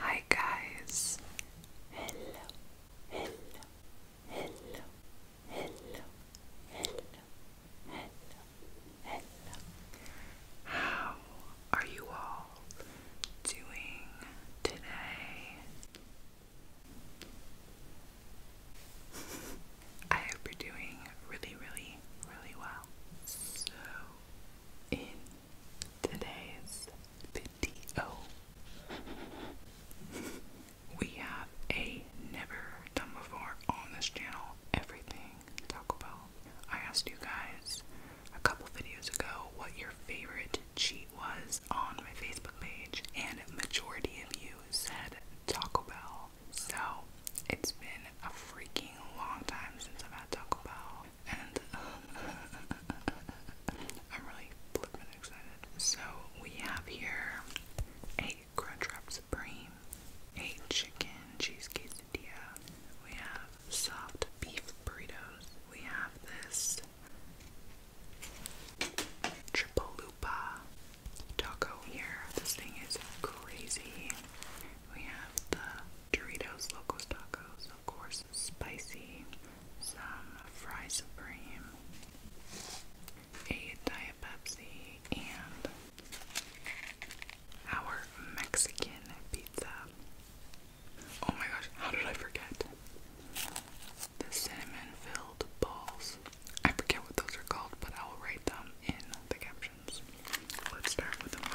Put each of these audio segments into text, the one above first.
Hi guys. Hello. Hello. Hello. Hello. Hello. Hello. Hello. How are you all doing today? I hope you doing really, really, really well. So, in today's video, we have a never done before on this channel everything Taco Bell. I asked you guys a couple videos ago what your favorite cheat was on my Facebook page, and majority of you said Taco Bell. So it's been a freaking long time since I've had Taco Bell, and um, I'm really flippin' excited. So we have here a Crunchwrap Supreme, a chicken cheese quesadilla. We have soft beef burritos. We have this. Triple Loopa taco here. This thing is crazy. We have the Doritos Locos Tacos, of course, spicy, some Fry Supreme, a Diet Pepsi, and our Mexican pizza. Oh my gosh, how did I forget? The cinnamon filled balls. I forget what those are called, but I will write them in the captions. Let's start with the wild.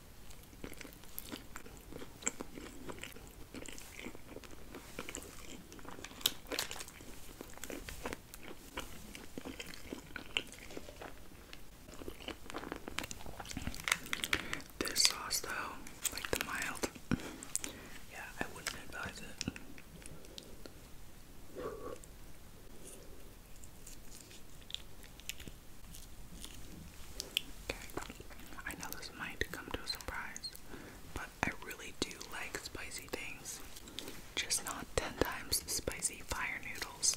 This sauce, though, like the mild, yeah, I wouldn't advise it. Okay. I know this might come to a surprise, but I really do like spicy things. Just not 10 times spicy fire noodles.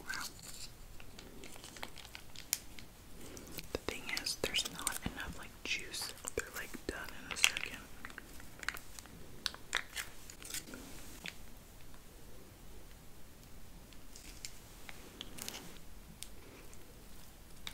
Wow. The thing is, there's not enough like juice. They're like done in a second.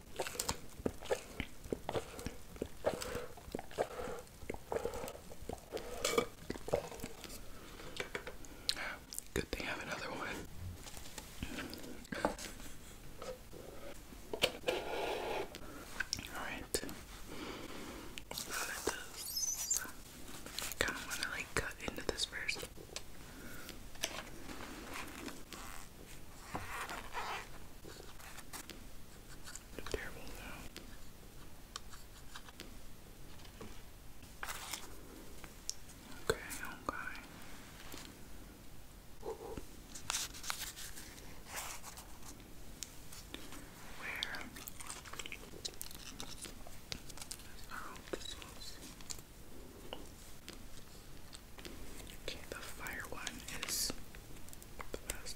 Good thing I have another one. Alright. I kind of want to like cut into this first. Terrible though. Okay, okay. Where is our old Okay, the fire one is the best.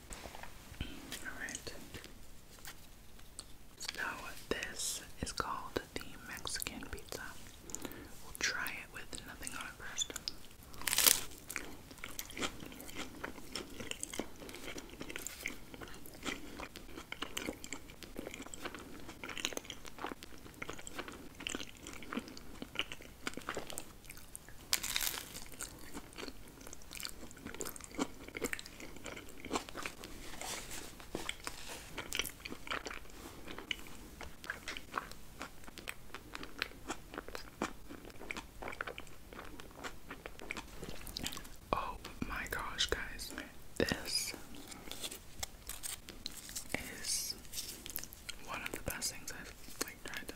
Alright. So this is called the Mexican pizza. We'll try it with nothing on it first. Oh my gosh, guys, this is one of the best things I've like tried today.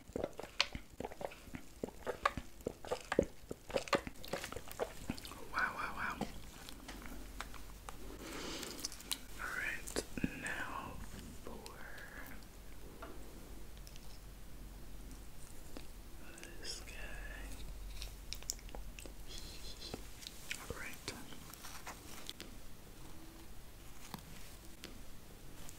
Wow, wow, wow. Alright, now for this guy. Alright.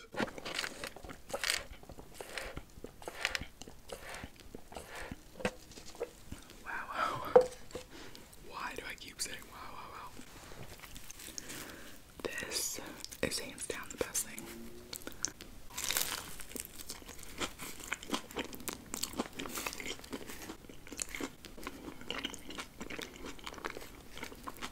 Wow, wow. Why do I keep saying wow, wow, wow? This is hands down the best thing.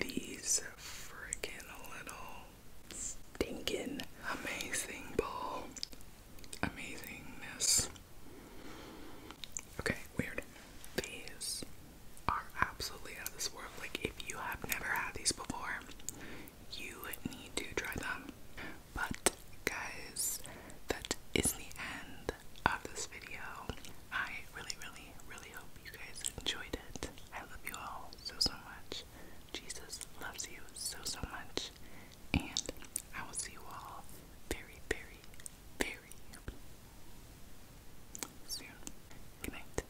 these freaking little stinking amazing ball amazingness. Okay, weird. These are absolutely out of this world. Like, if you have never had these before, you need to try them. But, guys, that is the end of this video. I really, really, really hope you guys enjoyed it. I love you all so, so much. Jesus loves you so, so much. And I will see you all very, very, very soon. Good night.